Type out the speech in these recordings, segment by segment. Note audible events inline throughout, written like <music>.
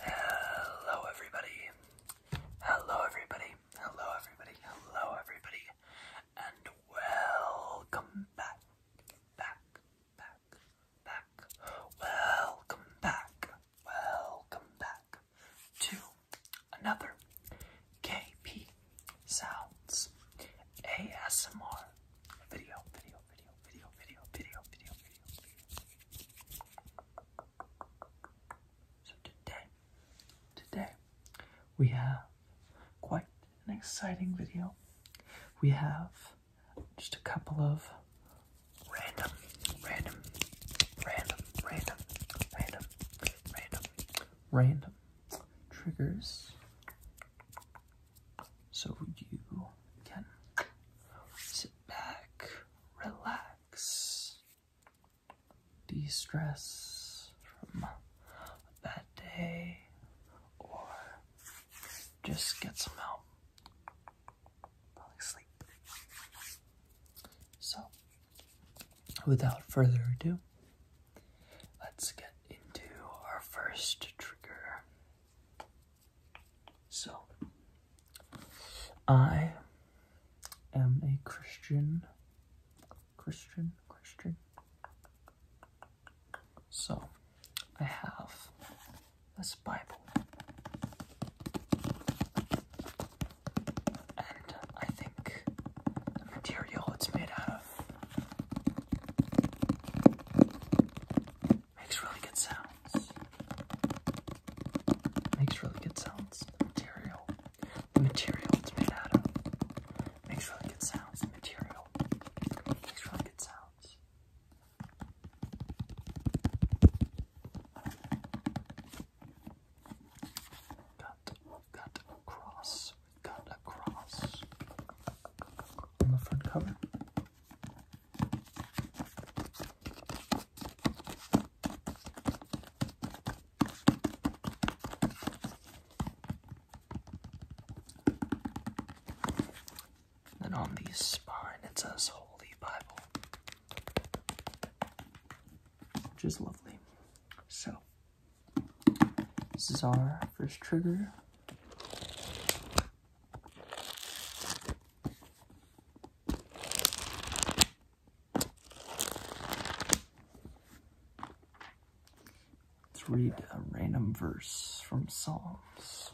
Hello, everybody. Hello, everybody. Hello, everybody. Hello, everybody. And welcome back. Back, back, back. Welcome back. Welcome back to another KP Sounds ASMR video. Video, video, video, video, video, video, video, video, So today, today, we have quite an exciting video. We have just a couple of random, random, random, random, random, random, random triggers so you can sit back, relax, de stress from a bad day, or just get some help falling asleep. So, without further ado, let's get into our first trigger. So, I am a Christian, Christian, Christian. So, I have this Bible. And I think the material it's made out of Makes really good sounds. Makes really good sounds. material. material it's made out of. Makes really good sounds. material. Makes really good sounds. Cut, cut, cross, cut across on the front cover. And on the spine it says Holy Bible. Which is lovely. So this is our first trigger. Let's read a random verse from Psalms.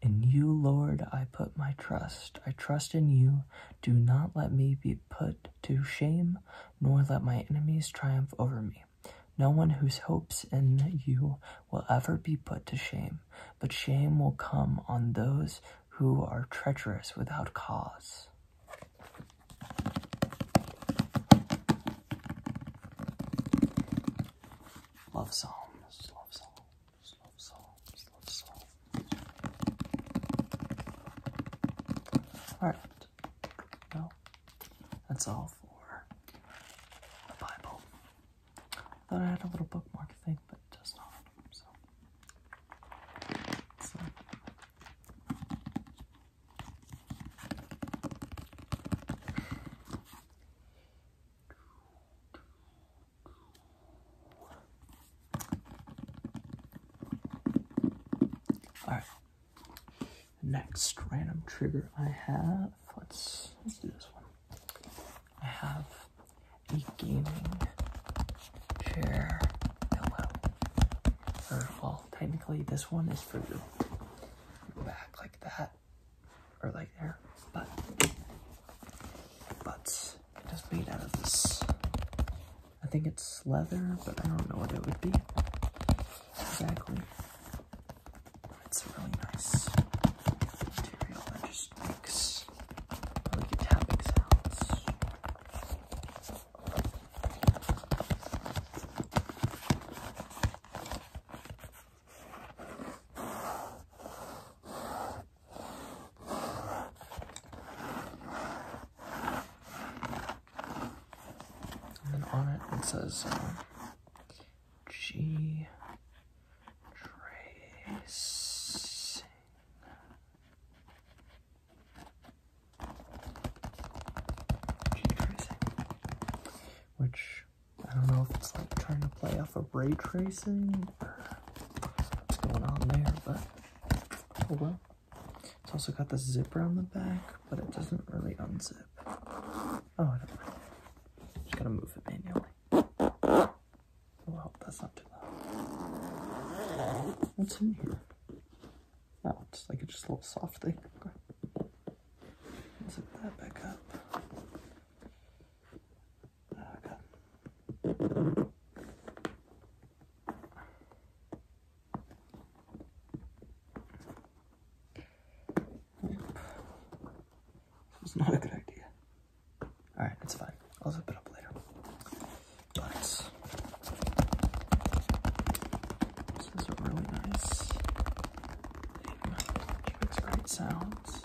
In you, Lord, I put my trust. I trust in you. Do not let me be put to shame, nor let my enemies triumph over me. No one whose hopes in you will ever be put to shame, but shame will come on those who are treacherous without cause. Love Psalms, love Psalms, love Psalms, love Psalms. All right. No, that's all for the Bible. I Thought I had a little bookmark thing, but does not. so. All right, Next random trigger I have, let's let's do this one. I have a gaming chair pillow. Or well, technically this one is for you. Go back like that. Or like there. But but it is made out of this. I think it's leather, but I don't know what it would be. Exactly. It's a really nice material that just makes really good sounds. And then on it, it says um, G Tracing. Which, I don't know if it's like trying to play off of ray tracing or what's going on there, but oh well. It's also got the zipper on the back, but it doesn't really unzip. Oh, I don't mind. Just gotta move it manually. Oh, that's not too loud. What's in here? Oh, it's like it's just a little soft thing. Zip that back up. Okay. It's not a good idea. Alright, it's fine. I'll zip it up later. this is really nice It makes great sounds.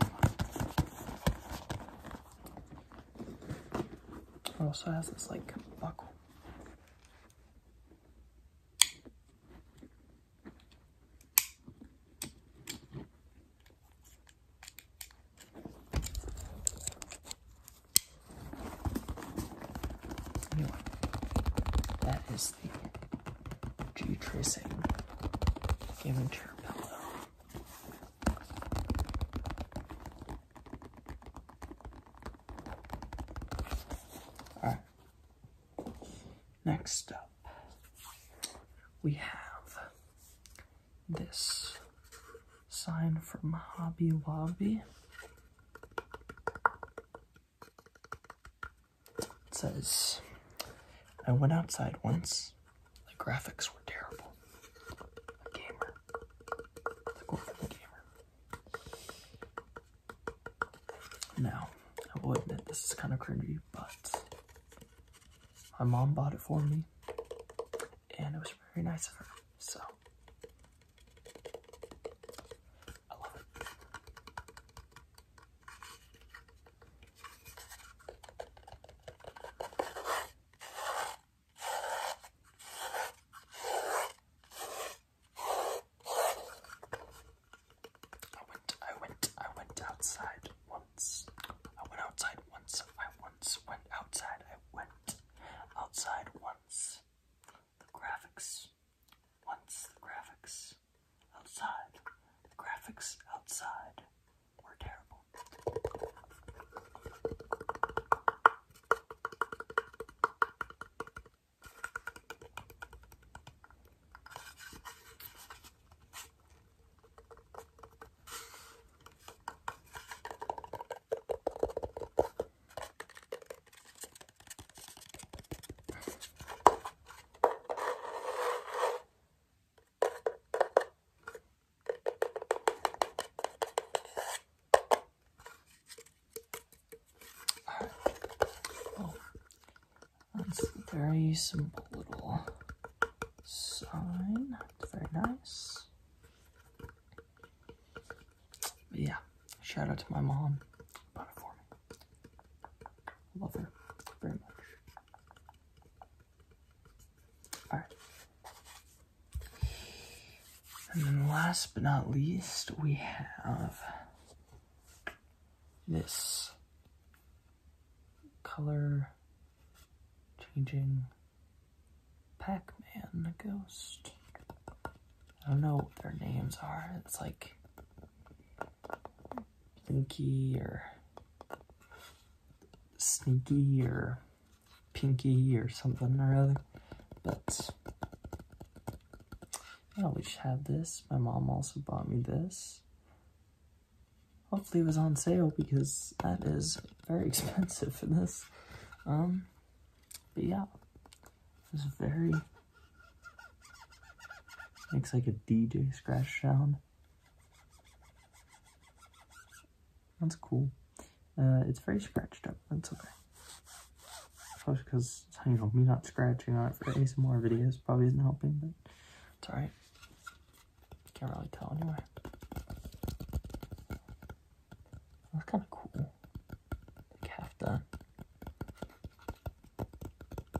It also has this like buckle. that is the G tracing Game and Chair pillow. All right. Next up, we have this sign from Hobby Lobby. It says, I went outside once the graphics were terrible. A gamer. The goal gamer. Now, I will admit this is kind of cringy, but my mom bought it for me, and it was very nice of her. So, I love it. I went, I went, I went outside once. I went outside once. I once went outside. I went outside once. The graphics. Once the graphics outside. The graphics outside were terrible. Oh, that's a very simple little sign. It's very nice. yeah, shout out to my mom. Bought it for me. Love her very much. All right. And then last but not least, we have this color changing Pac-Man ghost. I don't know what their names are. It's like Blinky or Sneaky or Pinky or something or other. But we always have this. My mom also bought me this. Hopefully it was on sale because that is very <laughs> expensive for this. Um, but yeah, it was very Makes like a DJ scratch sound. That's cool. Uh, it's very scratched up, that's okay. Especially because, you know, me not scratching on it for ASMR videos probably isn't helping, but it's alright. Can't really tell anyway. That's kind of cool. half done.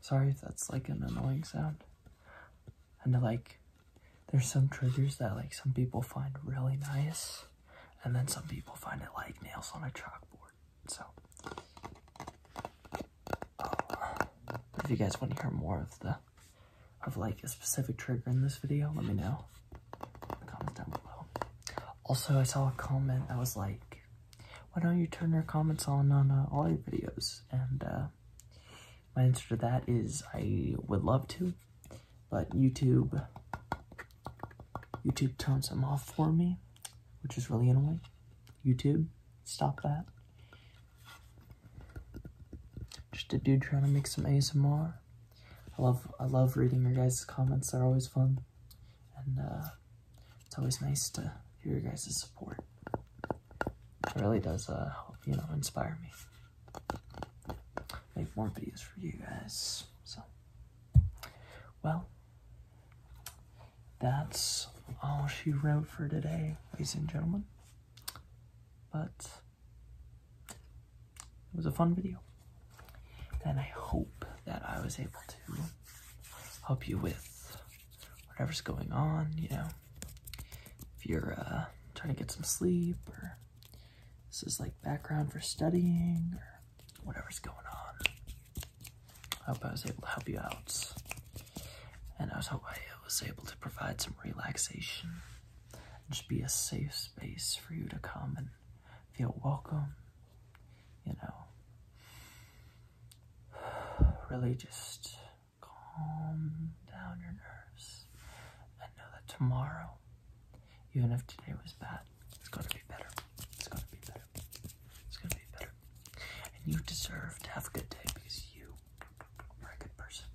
Sorry if that's like an annoying sound. And like, there's some triggers that like some people find really nice, and then some people find it like nails on a chalkboard. So, uh, if you guys want to hear more of the, of like a specific trigger in this video, let me know in the comments down below. Also, I saw a comment that was like, why don't you turn your comments on on uh, all your videos? And uh, my answer to that is I would love to, but YouTube YouTube turns them off for me, which is really annoying. YouTube, stop that. Just a dude trying to make some ASMR. I love I love reading your guys' comments. They're always fun, and uh, it's always nice to hear your guys' support. It really does, uh, help, you know, inspire me. Make more videos for you guys. So, well, that's all she wrote for today, ladies and gentlemen. But it was a fun video. And I hope that I was able to help you with whatever's going on, you know. If you're uh, trying to get some sleep or this is like background for studying or whatever's going on. I hope I was able to help you out. And I hope I was able to provide some relaxation. Just be a safe space for you to come and feel welcome, you know. <sighs> really just calm down your nerves and know that tomorrow, even if today was bad, it's gonna be better. It's gonna be better. It's gonna be better. And you deserve to have a good day because you are a good person.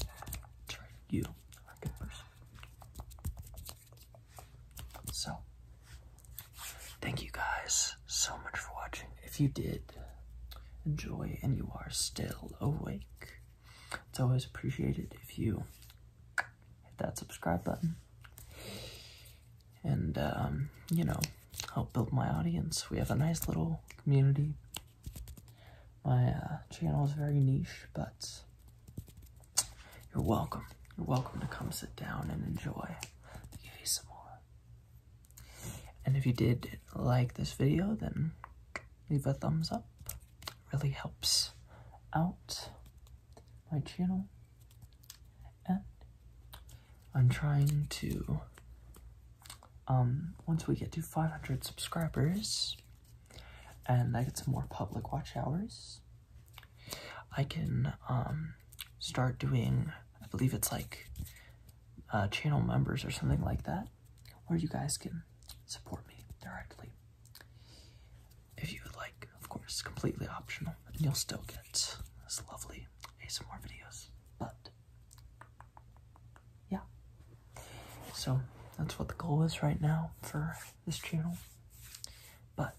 That's right, you are a good person. So, Thank you guys so much for watching. If you did enjoy and you are still awake, it's always appreciated if you hit that subscribe button and, um, you know, help build my audience. We have a nice little community. My uh, channel is very niche, but you're welcome. You're welcome to come sit down and enjoy Give you some more. And if you did like this video, then leave a thumbs up. It really helps out my channel. And I'm trying to, um, once we get to 500 subscribers and I get some more public watch hours, I can um, start doing, I believe it's like uh, channel members or something like that, where you guys can support me directly. If you would like, of course, completely optional, and you'll still get this lovely ASMR videos. But yeah, so that's what the goal is right now for this channel. But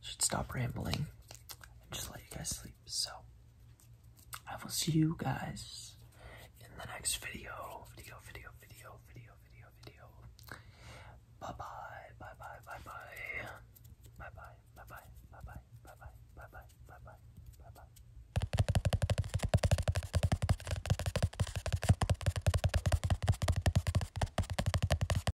should stop rambling and just let you guys sleep. So I will see you guys in the next video. Video, video, video, video, video, video. Bye bye, bye bye, bye bye. Bye bye, bye bye, bye bye, bye bye, bye bye, bye bye, bye bye.